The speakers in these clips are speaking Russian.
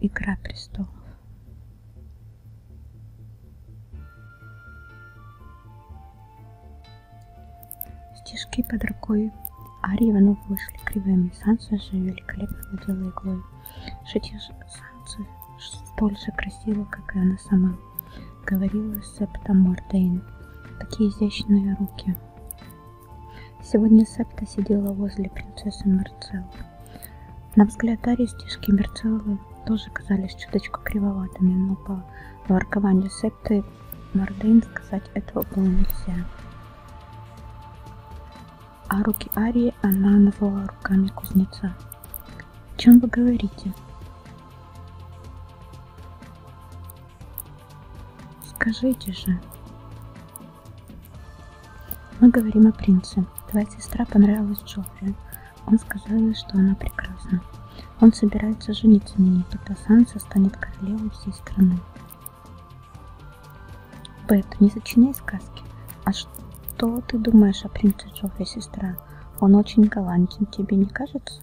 Игра престолов. Стишки под рукой Арии Иванов вышли кривыми, Санса же великолепно надела иглой. Шитье Санса столь же красиво, как и она сама, говорила Септа Мордейн. Такие изящные руки. Сегодня Септа сидела возле принцессы Марцеллы. На взгляд Ари стежки Мерцеллы тоже казались чуточку кривоватыми, но по воркованию Септы Мордейн сказать этого было нельзя а руки Арии она назвала руками кузнеца. «О чем вы говорите?» «Скажите же!» «Мы говорим о принце. Твоя сестра понравилась Джоффри. Он сказал ей, что она прекрасна. Он собирается жениться на ней, тогда Санса станет королевой всей страны». Бет, не сочиняй сказки. А что ты думаешь о принце Джоффе, сестра? Он очень галантен, тебе не кажется?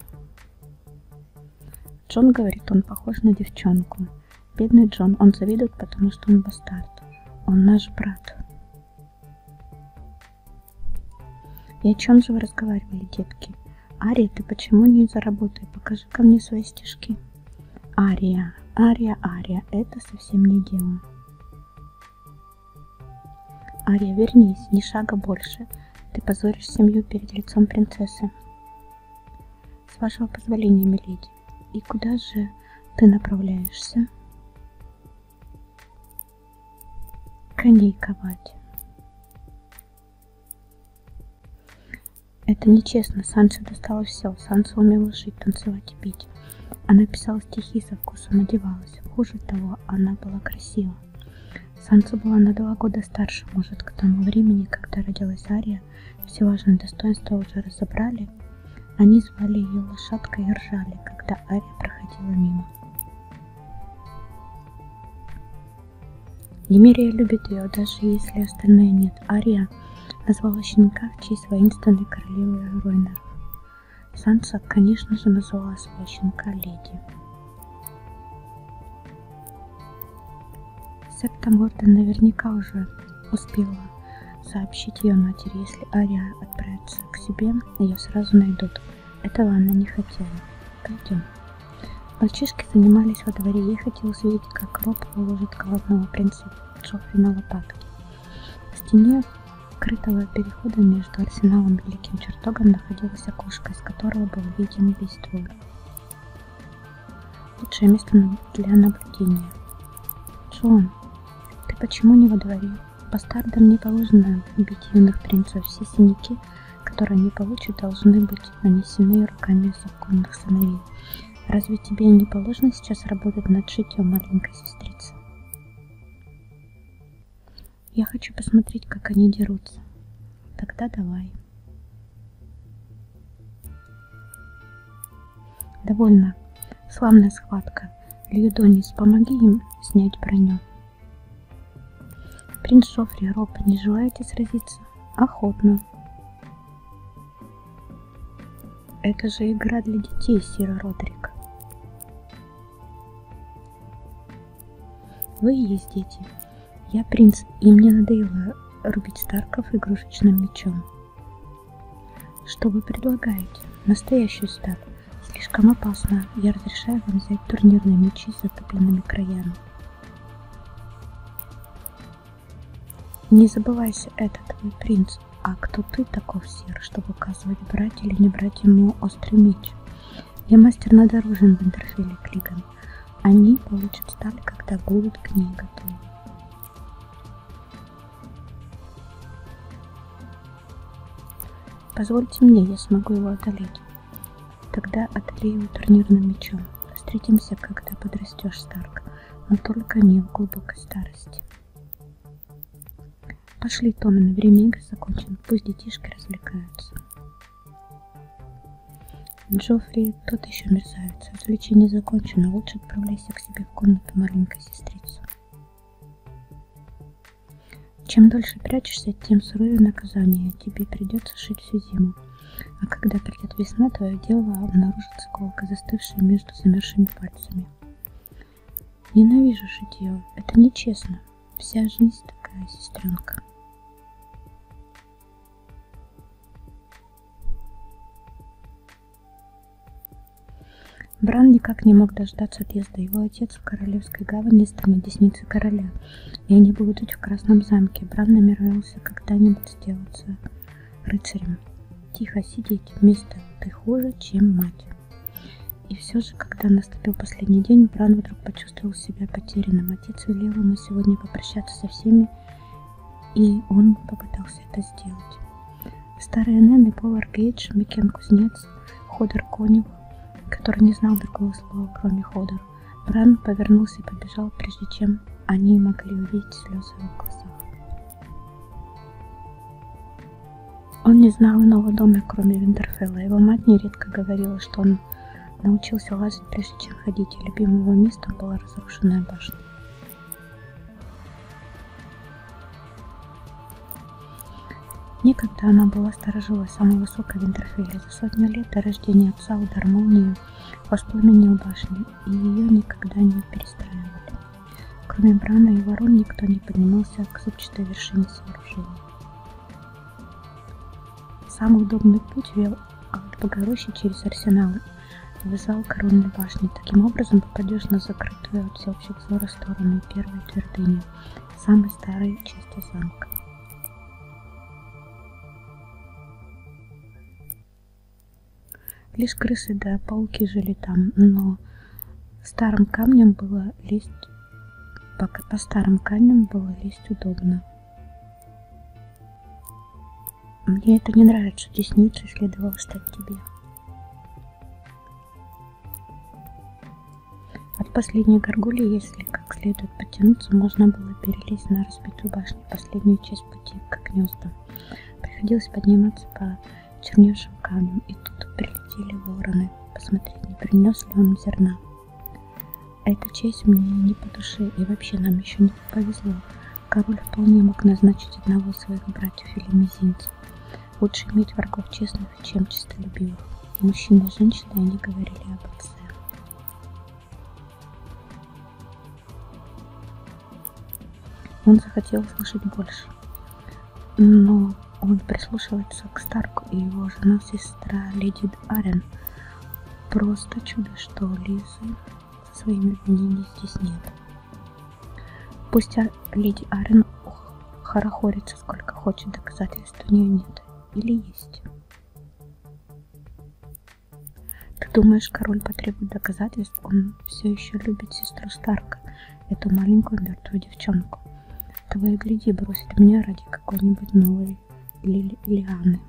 Джон говорит, он похож на девчонку. Бедный Джон, он завидует, потому что он бастард. Он наш брат. И о чем же вы разговаривали, детки? Ария, ты почему не за работой? покажи ко мне свои стишки. Ария, Ария, Ария, это совсем не дело ария вернись ни шага больше ты позоришь семью перед лицом принцессы с вашего позволения миледи и куда же ты направляешься коней ковать это нечестно санчо досталось все санчо умела жить танцевать и пить она писала читала стихи со вкусом одевалась. Хуже того, она была красива. Санса была на два года старше, может, к тому времени, когда родилась Ария, все важные достоинства уже разобрали. Они звали ее лошадкой и ржали, когда Ария проходила мимо. Немерия любит ее, даже если остальные нет. Ария назвала щенка в честь воинственной королевы Ройна. Санса, конечно же, назвала своего щенка Леди. Септа Морда наверняка уже успела сообщить ее матери, если Ария отправится к себе, ее сразу найдут. Этого она не хотела. Пойдем. Мальчишки занимались во дворе, ей хотелось видеть, как Роб уложит голодного принца Джоффи на лопатки. В стене крытого перехода между арсеналом и великим чертогом находилось окошко, из которого был виден весь двор. Лучшее место для наблюдения. Джон, ты почему не во дворе? Бастардам не положено бить юных принцев. Все синяки, которые они получат, должны быть нанесены руками законных сыновей. Разве тебе не положено сейчас работать над шитьем, маленькая сестрица? Я хочу посмотреть, как они дерутся. Тогда давай. Довольно. Славная схватка. Льюдонис, помоги им снять броню. Принц Софри, Роб, не желаете сразиться? Охотно. Это же игра для детей, Сира Родрик. Вы ну и есть дети. Я принц, и мне надоело рубить Старков игрушечным мечом. Что вы предлагаете? Настоящую статую. Слишком опасно. Я разрешаю вам взять турнирные мечи с затопленными краями. Не забывайся, это твой принц. А кто ты, таков сир, чтобы указывать, брать или не брать ему острый меч? Я мастер над оружием в интерфеле Клиган. Они получат сталь, когда будут к ней готовы. Позвольте мне, я смогу его одолеть. Тогда одолею его турнирным мечом. Встретимся, когда подрастешь, Старк, но только не в глубокой старости. Пошли, Томин, время игр закончено. Пусть детишки развлекаются. Джоффри, тот еще мерзавец. Развлечение закончено. Лучше отправляйся к себе в комнату, маленькая сестрица. Чем дольше прячешься, тем суровее наказание. Тебе придется шить всю зиму. А когда придет весна, твое дело обнаружится колка, застывшая между замерзшими пальцами. Ненавижу шитье. Это нечестно. Вся жизнь такая, сестренка. Бран никак не мог дождаться отъезда. Его отец в королевской гавани станет десницей короля, и они будут жить в Красном замке. Бран намеревался когда-нибудь сделаться рыцарем. Тихо сидеть вместо ты хуже, чем мать. И все же, когда наступил последний день, Бран вдруг почувствовал себя потерянным. Отец велел ему сегодня попрощаться со всеми, и он попытался это сделать. Старые Нэн и Повар Гейдж, Микен Кузнец, Ходор Конев, который не знал другого слова, кроме Ходор. Бран повернулся и побежал, прежде чем они могли увидеть слезы в глазах. Он не знал иного дома, кроме Винтерфелла. Его мать нередко говорила, что он научился лазить, прежде чем ходить, и любимым его местом была разрушенная башня. Некогда она была сторожила самой высокой Винтерфелли. За сотню лет до рождения отца удар молнии воспламенил башню, и ее никогда не перестраивали. Кроме Брана и Ворон никто не поднимался к зубчатой вершине сооружения. Самый удобный путь вел от Богорощи через арсеналы и вызывал коронной башни. Таким образом попадешь на закрытую от всеобщих взора сторону первой твердыни, самой старой части замка. Лишь крысы да пауки жили там, но старым камнем было лезть, по, по старым камням было лезть удобно. Мне это не нравится, десницей следовало стать тебе. От последней горгули, если как следует потянуться, можно было перелезть на разбитую башню последнюю часть пути к гнездам. Приходилось подниматься по черневшим камнем, и тут прилетели вороны, посмотреть, не принес ли он зерна. А эта честь мне не по душе, и вообще нам еще не повезло. Король вполне мог назначить одного из своих братьев или мизинцев. Лучше иметь врагов честных, чем честолюбивых. Мужчина и женщина, и они говорили об отце. Он захотел услышать больше, но он прислушивается к Старку и его жена сестра Леди Арен. Просто чудо, что Лизы со своими обвинениями здесь нет. Пусть Леди Арен хорохорится сколько хочет, доказательств у нее нет. Или есть. Ты думаешь, король потребует доказательств? есть он все еще любит сестру Старка, эту маленькую мертвую девчонку. Того и гляди, бросит меня ради какой-нибудь новой ли Лианы.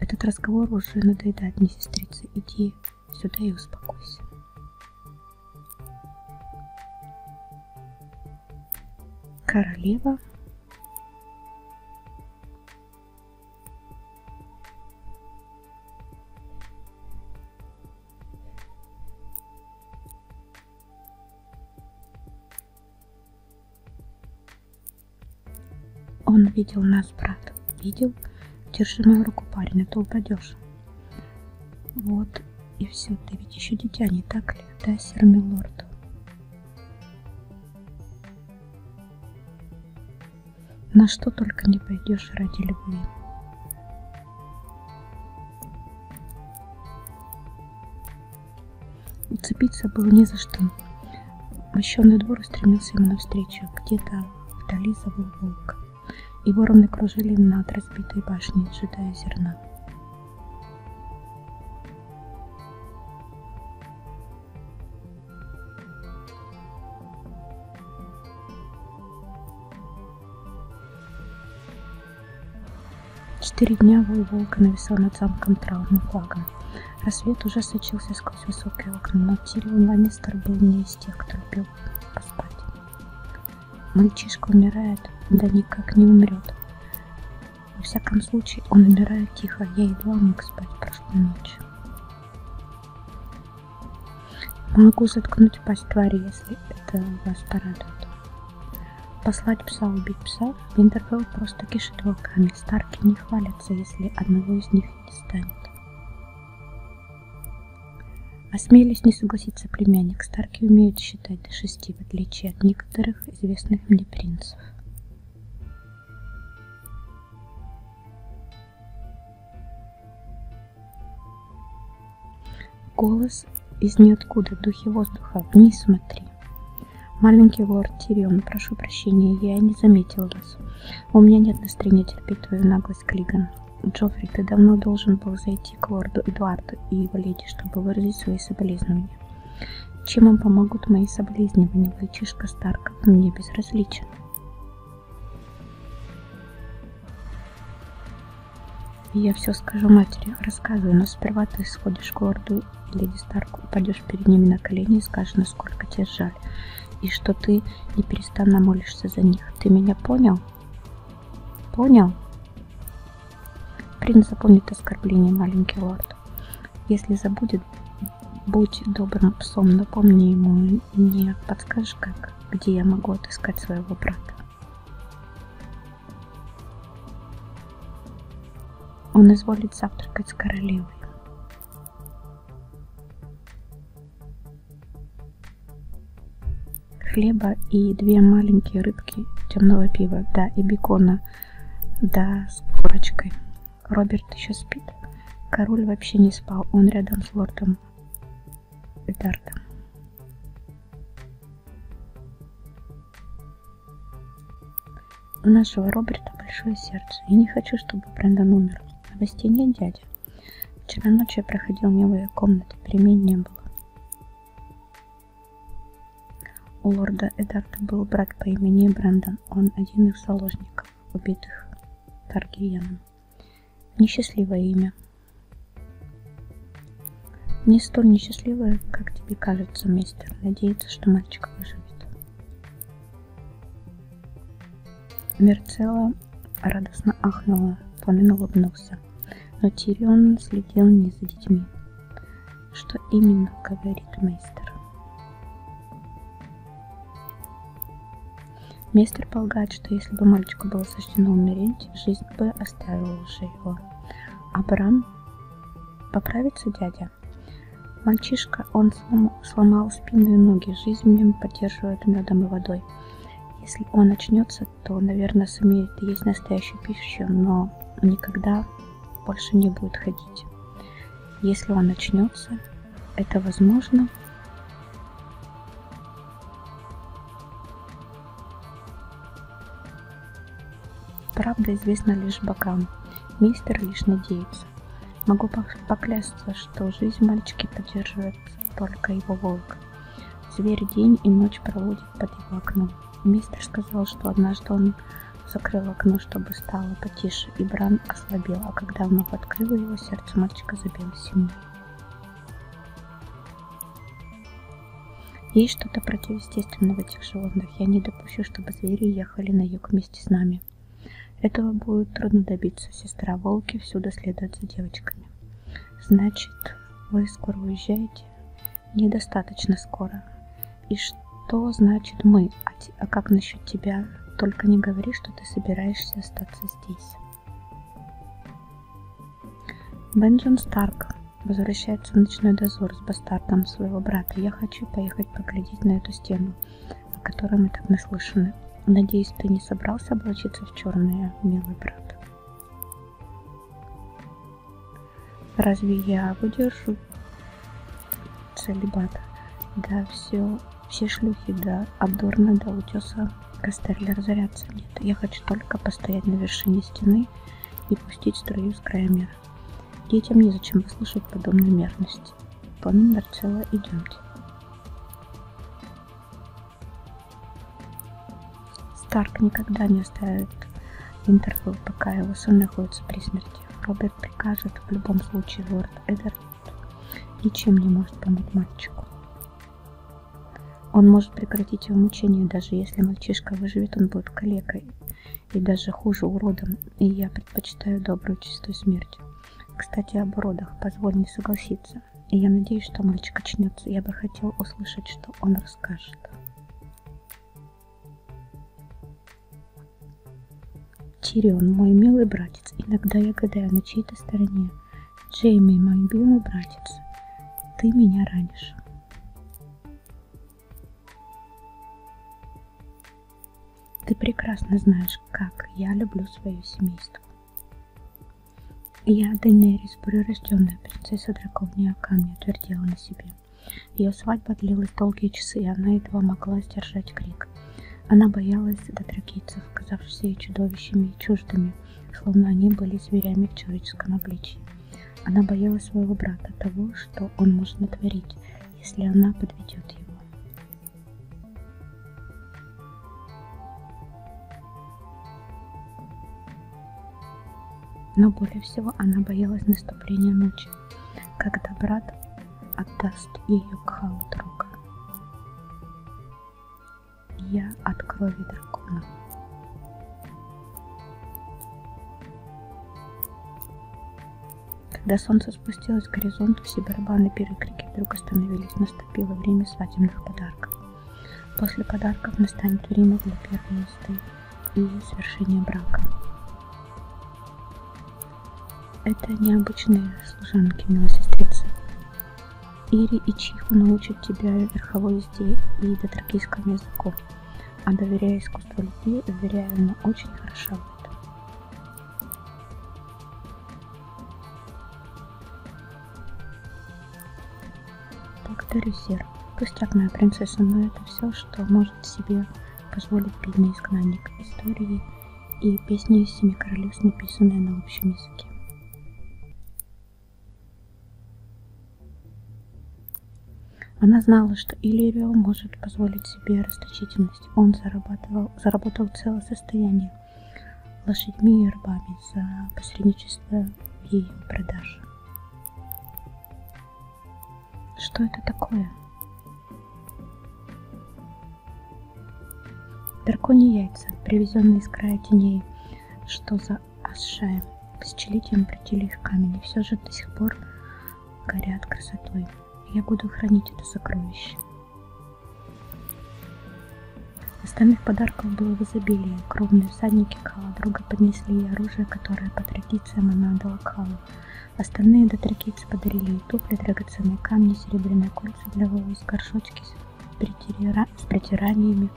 Этот разговор уже надоедает мне, сестрица. Иди сюда и успокойся. Королева он видел нас, брат. Видел? Держи мою руку, парень, а то упадешь. Вот, и все. Ты ведь еще дитя, не так ли? Да, сэр Милорд? На что только не пойдешь ради любви. Уцепиться было не за что. Мощенный двор устремился ему навстречу. Где-то вдали забыл волк. И вороны кружили над разбитой башней, ожидая зерна. Четыре дня вой волка нависал над замком траурным флагом. Рассвет уже сочился сквозь высокие окна, но Тирион Ланнистер был не из тех, кто любил поспать. Мальчишка умирает, да никак не умрет. Во всяком случае, он умирает тихо, я едва мог спать прошлой ночью. Могу заткнуть пасть твари, если это вас порадует. Послать пса убить пса? Винтерфелл просто кишит волками. Старки не хвалятся, если одного из них не станет. Осмелюсь а не согласиться, племянник. Старки умеют считать до шести, в отличие от некоторых известных мне принцев. Голос из ниоткуда, в духе воздуха. Вниз смотри. Маленький лорд Тирион, прошу прощения, я не заметил вас. У меня нет настроения терпеть твою наглость, Клиган. Джоффри, ты давно должен был зайти к лорду Эдуарду и его леди, чтобы выразить свои соболезнования. Чем им помогут мои соболезнования, мальчишка Старков мне безразличен вещь. Я все скажу матери, рассказываю, но сперва ты сходишь к лорду Леди Старк, упадешь перед ними на колени и скажешь, насколько тебе жаль, и что ты неперестанно молишься за них. Ты меня понял? Понял? Принц запомнит оскорбление, маленький лорд. Если забудет, будь добрым псом, напомни ему и не подскажешь, как, где я могу отыскать своего брата. Он изволит завтракать с королевой. Хлеба и две маленькие рыбки темного пива, да, и бекона, да, с корочкой. Роберт еще спит. Король вообще не спал, он рядом с лордом Эдардом. У нашего Роберта большое сердце. Я не хочу, чтобы Брэндон умер. Новостей нет, дядя. Вчера ночью я проходил мимо ее комнаты, перемен не было. У лорда Эдарта был брат по имени Брэндон. Он один из заложников убитых Таргиеном. Несчастливое имя. Не столь несчастливое, как тебе кажется, мистер. Надеется, что мальчик выживет. Мерцела радостно ахнула, Фламин улыбнулся. Но Тирион следил не за детьми. Что именно говорит мейстер? Мистер полагает, что если бы мальчику было суждено умереть, жизнь бы оставила уже его. Абрам поправится дядя. Мальчишка, он слом, сломал спину и ноги, жизнь в нем поддерживают медом и водой. Если он очнется, то, наверное, сумеет есть настоящую пищу, но никогда больше не будет ходить. Если он очнется, это возможно. Правда известна лишь богам, мистер лишь надеется. Могу поклясться, что жизнь мальчики поддерживает только его волк. Зверь день и ночь проводит под его окном. Мистер сказал, что однажды он закрыл окно, чтобы стало потише, и Бран ослабел, а когда вновь открыл его, сердце мальчика забилось сильнее. Есть что-то противоестественное в этих животных. Я не допущу, чтобы звери ехали на юг вместе с нами. Этого будет трудно добиться, сестра. Волки всюду следуют за девочками. Значит, вы скоро уезжаете? Недостаточно скоро и что значит мы, а, а как насчет тебя? Только не говори, что ты собираешься остаться здесь. Бенджин Старк возвращается в ночной дозор с бастардом своего брата. Я хочу поехать поглядеть на эту стену, о которой мы так наслышаны. Надеюсь, ты не собрался облачиться в черное, милый брат. Разве я выдержу шлюх. Целебат. Да, все, все шлюхи, да, обдорно до да, утеса кастрюля разорятся. Нет, я хочу только постоять на вершине стены и пустить струю с края мира. Детям незачем выслушать подобной мерности. План номер цело, идемте. Старк никогда не оставит Интервью, пока его сын находится при смерти. Роберт прикажет в любом случае его Лорд Эдер ничем не может помочь мальчику. Он может прекратить его мучение, даже если мальчишка выживет, он будет калекой и даже хуже уродом, и я предпочитаю добрую чистую смерть. Кстати, об уродах, позволь не согласиться. И я надеюсь, что мальчик очнется. Я бы хотел услышать, что он расскажет. Тирион, мой милый братец, иногда я гадаю на чьей-то стороне. Джейми, мой милый братец, ты меня ранишь. Ты прекрасно знаешь, как я люблю свое семейство. Я, Денерис, прирожденная принцесса драконьего камня, твердила на себе. Ее свадьба длилась долгие часы, и она едва могла сдержать крик. Она боялась дотракийцев, казавшихся ей чудовищами и чуждыми, словно они были зверями в человеческом обличии. Она боялась своего брата, того, что он может натворить, если она подведет его. Но более всего она боялась наступления ночи, когда брат отдаст ее к халу друга. Я от крови дракона. Когда солнце спустилось к горизонту, все барабаны перекрики вдруг остановились. Наступило время свадебных подарков. После подарков настанет время для первой мосты и свершения брака. Это необычные служанки, милая сестрица. Ири и Чиху научат тебя верховой езде и дотракийскому языку. А доверяя искусству любви, уверяю, она очень хороша в этом. Благодарю, Сер. Пусть так, моя принцесса, но это все, что может в себе позволит бедный изгнанник истории и песни из Семи Королевств, написанные на общем языке. Она знала, что Иллирио может позволить себе расточительность. Он зарабатывал, заработал целое состояние лошадьми и рыбами за посредничество в ее продаже. Что это такое? Драконьи яйца, привезенные из края теней, что за Асшаем, тысячелетием притили их камень, и все же до сих пор горят красотой. Я буду хранить это сокровище. Остальных подарков было в изобилии. Кровные всадники Кала друга поднесли ей оружие, которое по традициям она отдала Калу. Остальные дотракийцы подарили и туфли, драгоценные камни, серебряные кольца для волос, горшочки с, притира... с притираниями,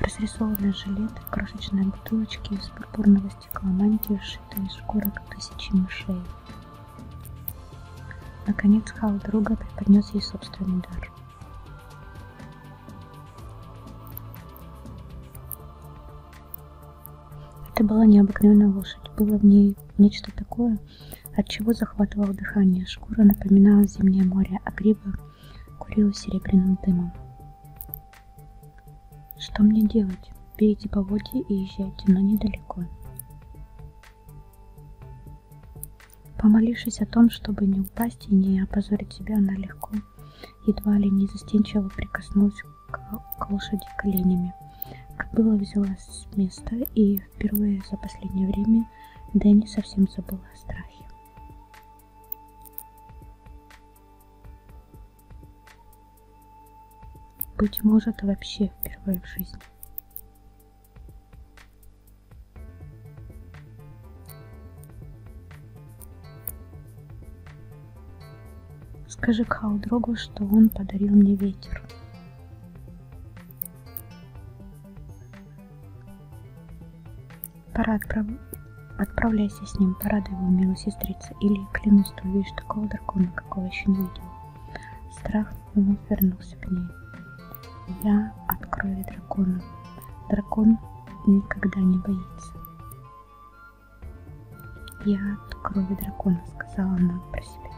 разрисованные жилеты, крошечные бутылочки из пурпурного стекла, мантии, сшитые из шкурок тысячи мышей. Наконец Хал друга преподнес ей собственный дар. Это была необыкновенная лошадь, было в ней нечто такое, от чего захватывало дыхание. Шкура напоминала зимнее море, а гриба курила серебряным дымом. Что мне делать? Берите поводья и езжайте, но недалеко. Помолившись о том, чтобы не упасть и не опозорить себя, она легко, едва ли не застенчиво прикоснулась к, к лошади коленями. Кобыла взялась с места, и впервые за последнее время Дэнни совсем забыла о страхе. Быть может, вообще впервые в жизни. Скажи Кхалдрогу, что он подарил мне ветер. Пора отправ... отправляйся с ним, порадуй его, милая сестрица, или клянусь, ты увидишь такого дракона, какого еще не видел. Страх вновь вернулся к ней. Я от крови дракона. Дракон никогда не боится. Я от крови дракона, сказала она про себя.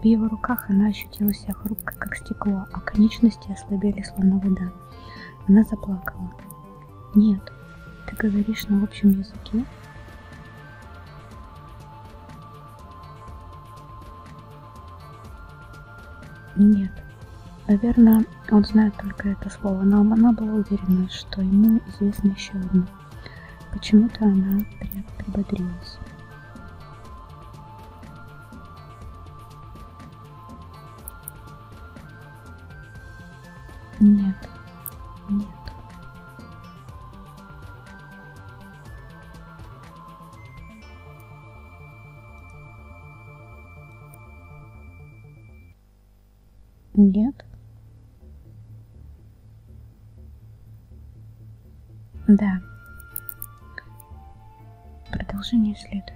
В его руках она ощутила себя хрупкой, как стекло, а конечности ослабели, словно вода. Она заплакала. «Нет, ты говоришь на общем языке?» «Нет, Наверное, он знает только это слово, но она была уверена, что ему известно еще одно. Почему-то она прибодрилась. Нет, нет. Нет. Да. Продолжение следует.